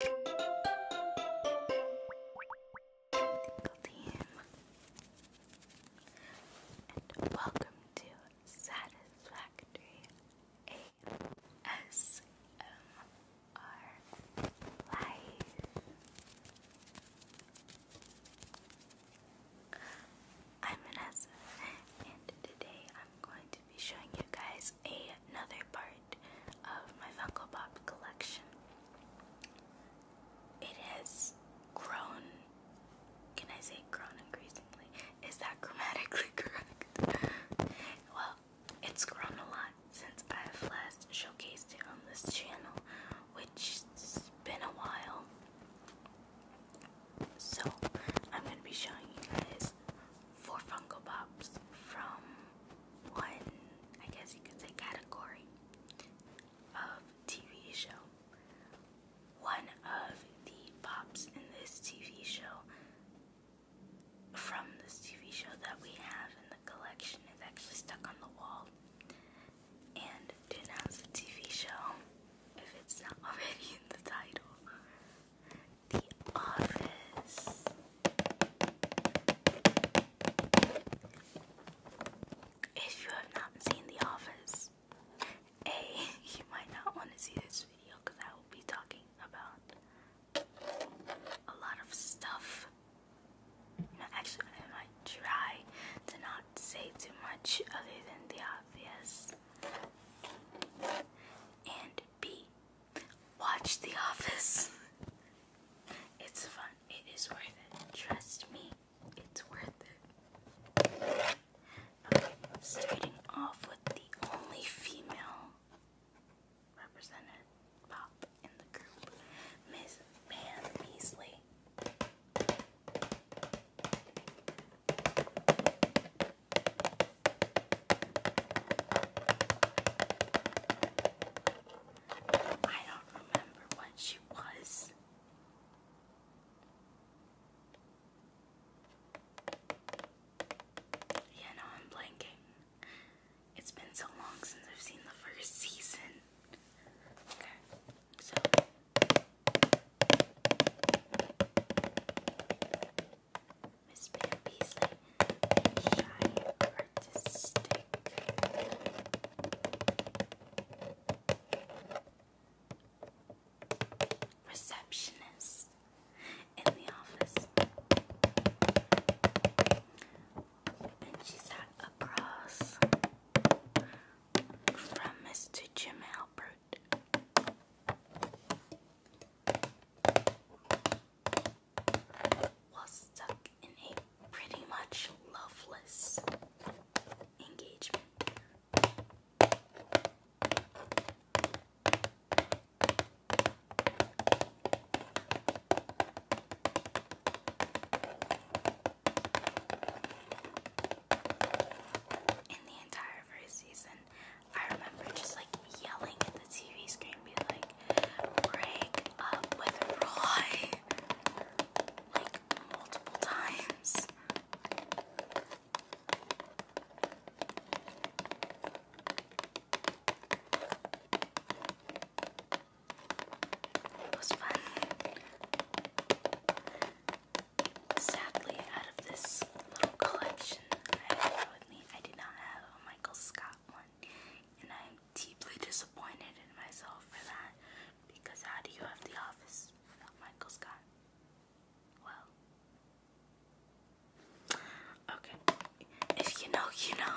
Team. And welcome to Satisfactory ASMR Live. I'm Vanessa, and today I'm going to be showing you guys another part of my Funko Pop collection. It has grown. Can I say grown increasingly? Is that grammatically correct? well, it's grown a lot since I've last showcased it on this channel, which has been a while. So, I'm going to be showing you guys four Funko Pops from one, I guess you could say, category of TV show. One of the pops in this TV show, from this TV show that we have in the collection, is actually stuck on the wall. And to announce the TV show, if it's not already in the title, the Office. If you have not seen The Office, A, you might not want to see this video because I will be talking about a lot of stuff. actually, I might try to not say too much other than the obvious. And B, Watch The Office. It's fun. It is worth it. Trust me, it's worth it. starting off with the only female represented pop in the group, Miss Pam Beasley. I don't remember what she was. Yeah, no, I'm blanking. It's been so long since I've seen the first season. Okay, Miss Pam Beasley, shy artistic. Receptionist in the office, and she sat across from Mr. Jim Albert was stuck in a pretty much loveless engagement. And the entire season, I remember just like yelling at the TV screen, being like, break up with Roy. Like multiple times. It fun. Sadly, out of this little collection that I have with me, I do not have Michael Scott one, and I'm deeply disappointed in myself for that because how do you have The Office without Michael Scott? Well, okay, if you know, you know.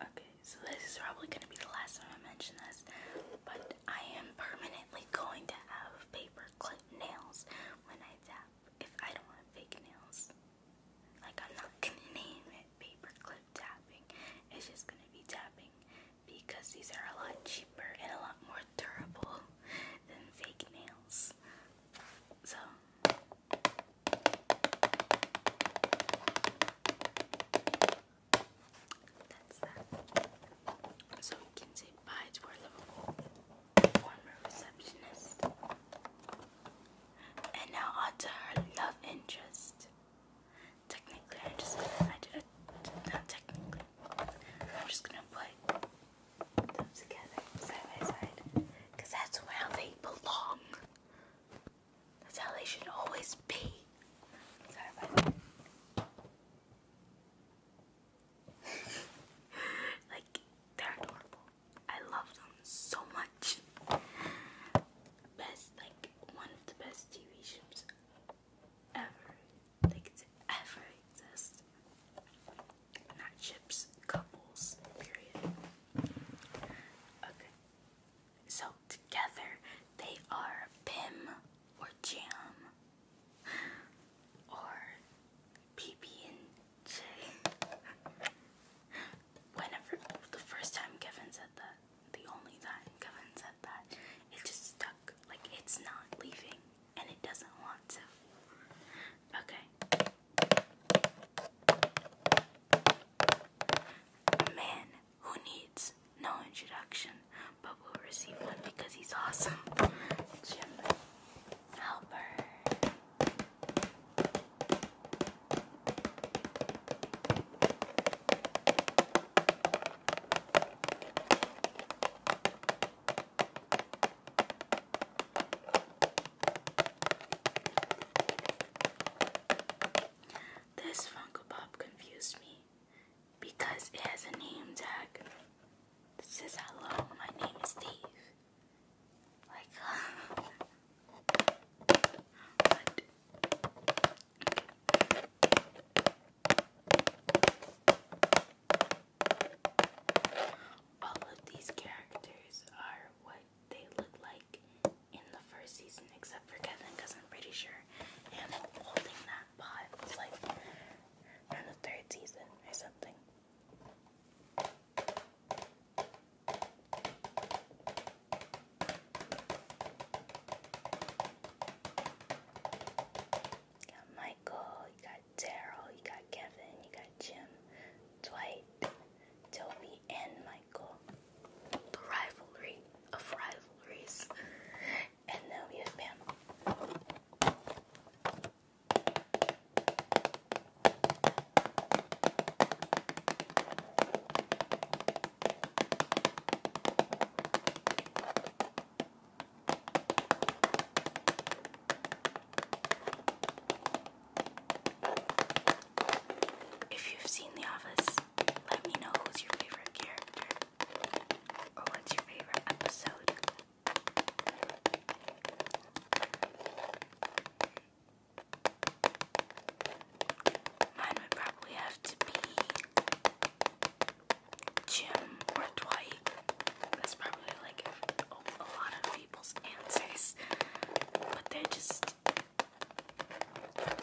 Okay, so this is probably going to be the last time I mention this, but I am permanently going to have paper clip nails when I tap if I don't have fake nails. Like, I'm not going to name it paper clip tapping, it's just going to be tapping because these are a lot cheaper and a lot more durable than fake nails. So, so we can say bye to our former receptionist. And now on to her love interest. Technically, I'm just not technically, I'm just gonna put them together side by side that's where they belong. That's how they should always be. like, they're adorable. I love them so much. Best, like, one of the best TV shows ever. Like, to ever exist. Not ships, couples, period. Okay. So together they are PIM or jam or pb Whenever the first time Kevin said that, the only time Kevin said that, it just stuck. Like it's not leaving and it doesn't want to. Okay a man who needs no introduction but will receive one because he's awesome. Jim Halpert. This Funko Pop confused me because it has a name tag that says hello, my name is Steve. Like, but all of these characters are what they look like in the first season, except for Kevin, because I'm pretty sure him holding that pot was like in the third season or something. You got Michael, you got Daryl, you got Kevin, you got Jim, Dwight, Toby, and Michael the rivalry of rivalries. And now, yes, ma'am. If you've seen The Office, let me know who's your favorite character or what's your favorite episode. Mine would probably have to be Jim or Dwight. That's probably like a, a lot of people's answers, but they're just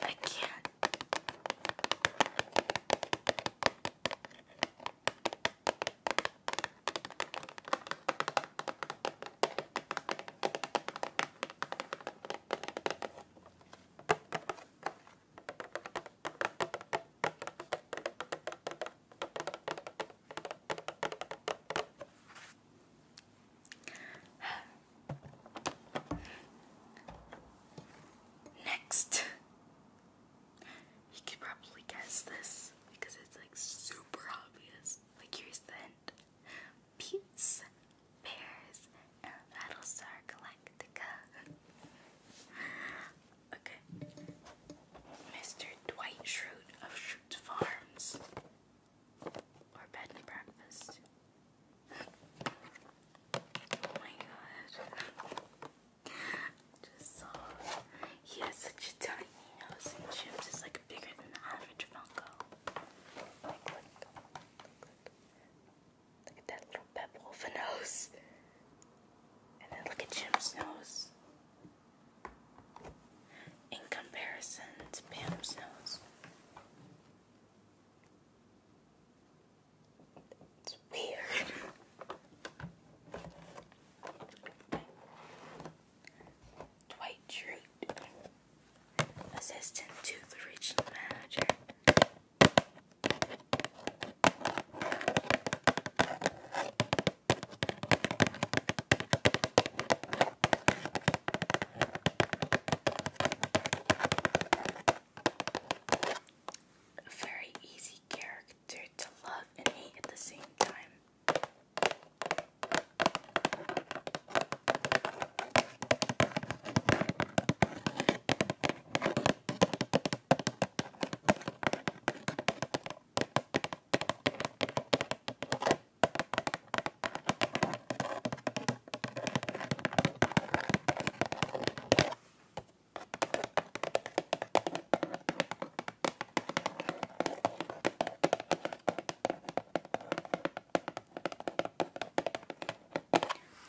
I can't. Next, you could probably guess this because it's like super obvious. Like, here's the hint Pete's Bears Battlestar Galactica. okay, Mr. Dwight Schrute of Schrute Farms or bed and breakfast. Oh my god. Just saw. He has such a tiny nose, and Jim's is like bigger than the average Funko. look, at that little pebble of a nose. And then look at Jim's nose in comparison to Pam's nose. It's weird. Dwight Schrute, assistant to the regional manager very easy character to love and hate at the same time.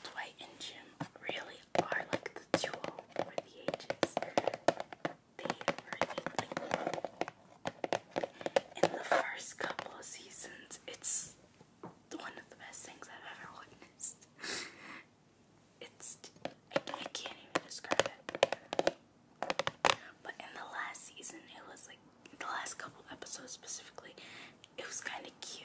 Dwight and Jim really are like the duo for the ages in the first couple of seasons, it's one of the best things I've ever witnessed. It's I, can't even describe it. But in the last season, it was like the last couple episodes specifically, it was kind of cute.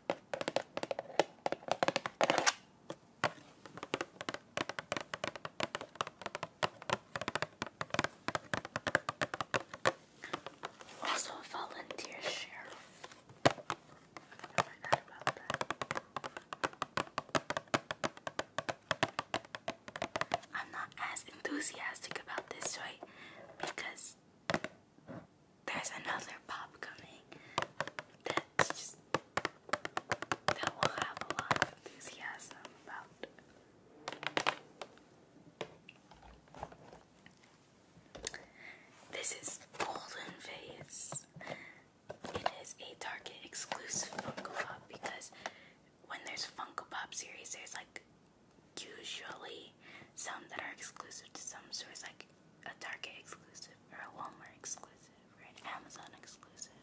Also, volunteer sheriff. I am not as enthusiastic about this, right? Because there's another pop coming that will have a lot of enthusiasm about. This is Golden Face. It is a Target exclusive Funko Pop because when there's Funko Pop series, there's like usually some that are exclusive to some stores. Like a Target exclusive or a Walmart exclusive or an Amazon exclusive,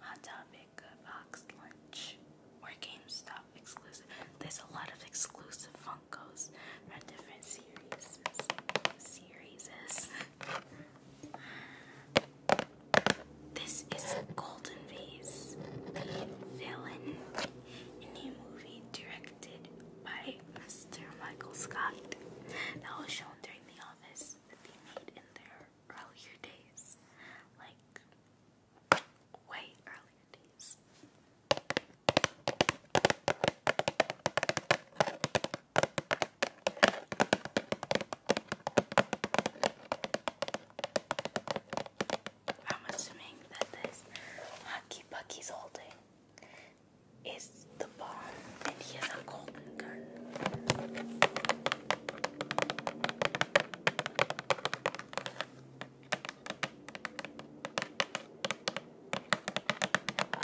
Hot Topic, a Box Lunch, or GameStop exclusive. There's a lot of exclusive Funkos from different series. Series. This is Golden Vase, the villain in a movie directed by Mr. Michael Scott that was shown during The Office that they made in their earlier days. Like, way earlier days. I'm assuming that this hockey puck he's holding is the bomb, and he has a golden gun.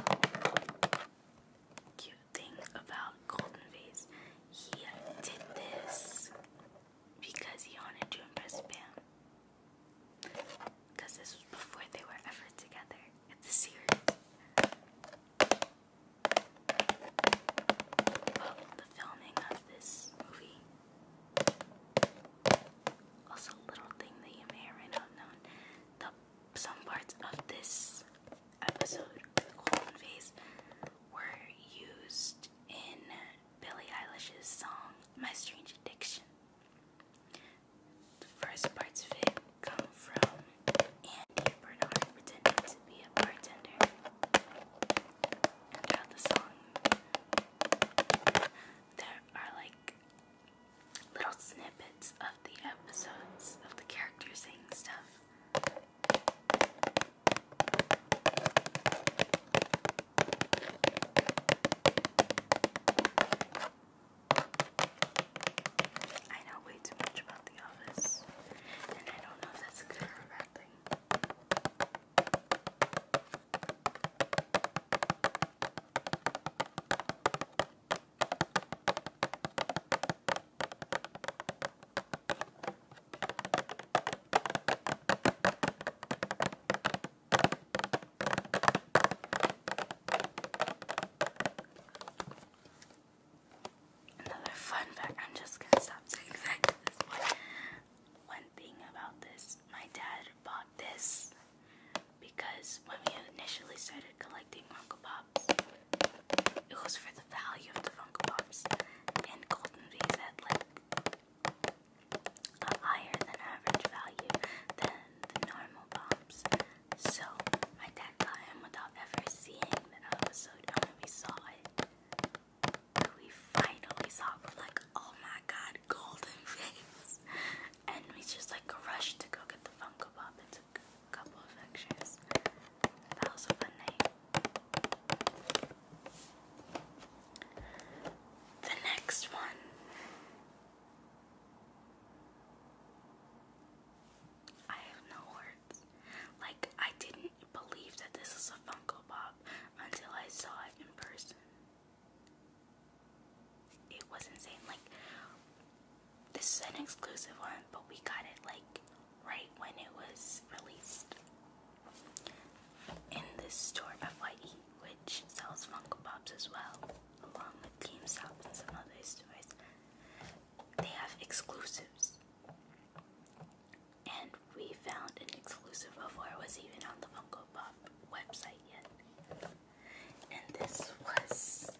Oh, cute thing about Golden Face, he did this because he wanted to impress Pam. Because this was before they were ever together in the series. filming of this movie. Also, little thing that you may or may not know. The, some parts of this episode, the golden were used in Billie Eilish's song My Strange Addiction. The first parts of it come from Andy Bernard pretending to be a bartender. And throughout the song, there are like little snippets of the episodes of the characters saying stuff. I know way too much about The Office, and I don't know if that's a good or bad thing. Another fun fact, I'm just gonna stop saying fact this One thing about this, my dad bought this because when we initially started collecting Funko Pops, it was for the value of the Funko Pops. And Golden Vase had like a higher than average value than normal bombs. So my dad got him without ever seeing the episode and we saw it. We finally saw we're like, oh my god, golden face. And we just like rushed to go get the Funko Pop and took a couple of pictures. That was a fun night. The next one I have no words. Like, I didn't believe that this is a Funko Pop until I saw it in person. It was insane. Like, this is an exclusive one, but we got it, like, right when it was released in this store, FYE which sells Funko Pops as well, along with Team GameStop and some other stores. They have exclusives. And we found an exclusive before it was even on the Funko Pop website yet. And this was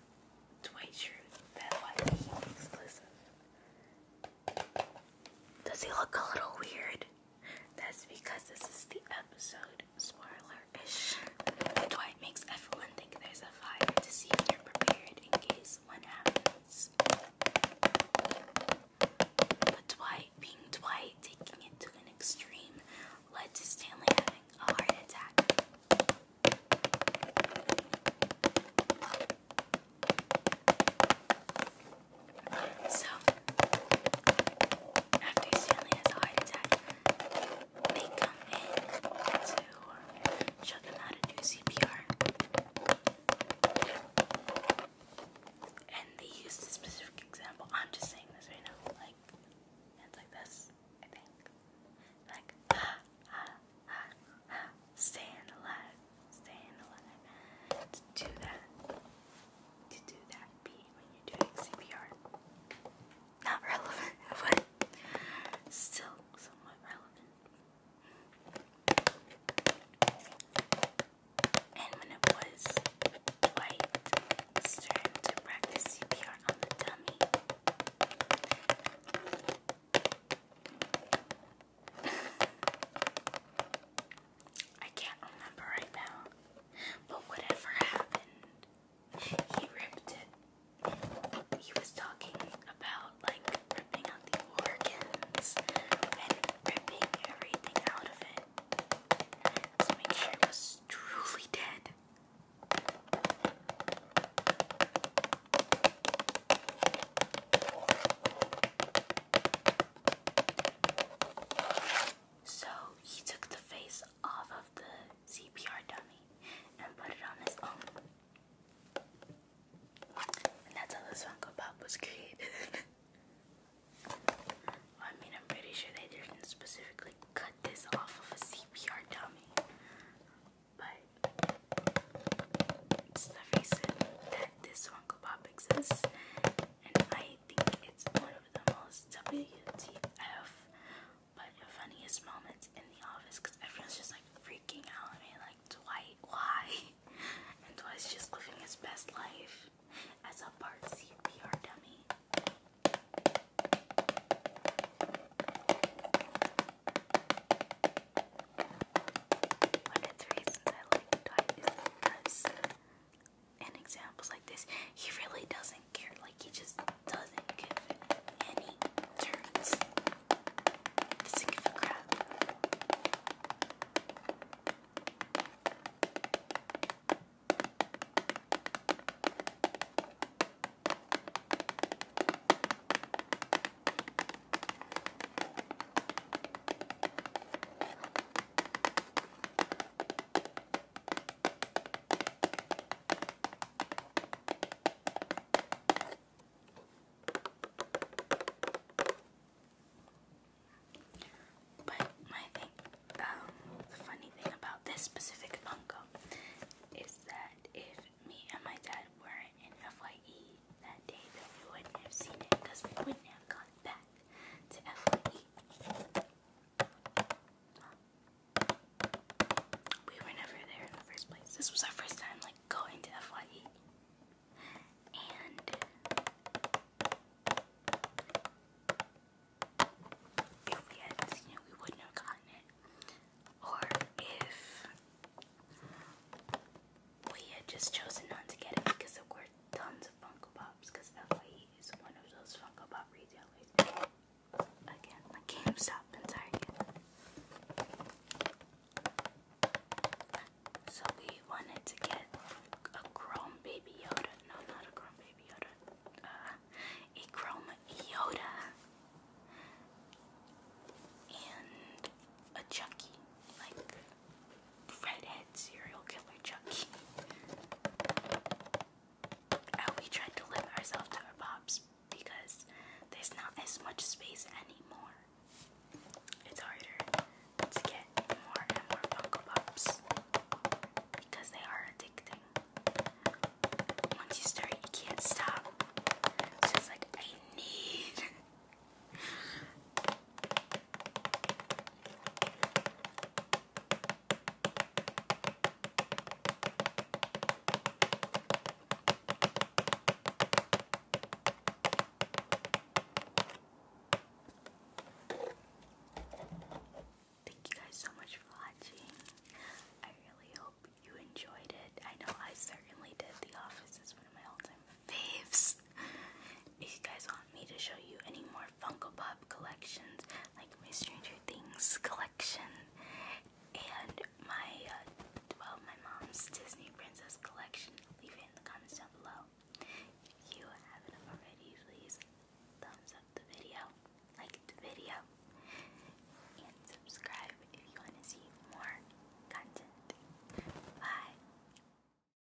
Dwight Schrute. that why he exclusive. Does he look a little weird? That's because this is the episode spoiler-ish. Dwight makes everyone think there's a fire to see if you're prepared in case one happens. But Dwight, being Dwight, taking it to an extreme, led to Stanley having a heart attack. So after Stanley has a heart attack, they come in to show them how to do CPR. And they used a specific example. I'm just saying this right now. Like, hands like this, I think. Like, ha, ha, ha, ha, staying alive, staying alive. To do that to do that beat when you're doing CPR. Not relevant, but still somewhat relevant. And when it was white, it's to practice CPR on the dummy. I can't remember right now. But whatever happened, he ripped it. He was talking about like ripping out the organs and ripping everything out of it it was truly dead. So he took the face off of the CPR dummy and put it on his own. And that's how this Funko Pop was created. I mean, I'm pretty sure they didn't specifically cut this off of a CPR dummy, but it's the reason that this Funko Pop exists, and I think it's one of them WTF. But funniest moments in the office everyone's just like freaking out at like, Dwight, why? And Dwight's just living his best life as a part CPR dummy. One in examples like this, he really doesn't care. Like he just doesn't give any turns. Doesn't give but my thing, um, the funny thing about this specific uncle is that if me and my dad weren't in FYE that day, then we wouldn't have seen it because we wouldn't have gone back. We were never there in the first place. This was our first time like going to FYE. And if we had seen it, we wouldn't have gotten it. Or if we had just chosen not to get it because there were tons of Funko Pops because FYE he's one of those Funko Pop retailers. Again, like GameStop and Target. So we wanted to get a chrome baby Yoda. No, not a chrome baby Yoda. Uh, a chrome Yoda. And a Chucky. Like redhead serial killer Chucky. we tried to limit ourselves to our pops because there's not as much space anymore. It's harder to get more and more Funko Pops because they are addicting. Once you start, you can't stop. It's just like, I need. Thank you guys so much for watching. I really hope you enjoyed it. I know I certainly did. The Office is one of my all time faves. If you guys want me to show you any more Funko Pop collections, like my Stranger Things collection, and my uh, well, my mom's Disney Princess collection. Leave it in the comments down below. you haven't already, please thumbs up the video, like the video, and subscribe if you want to see more content. Bye.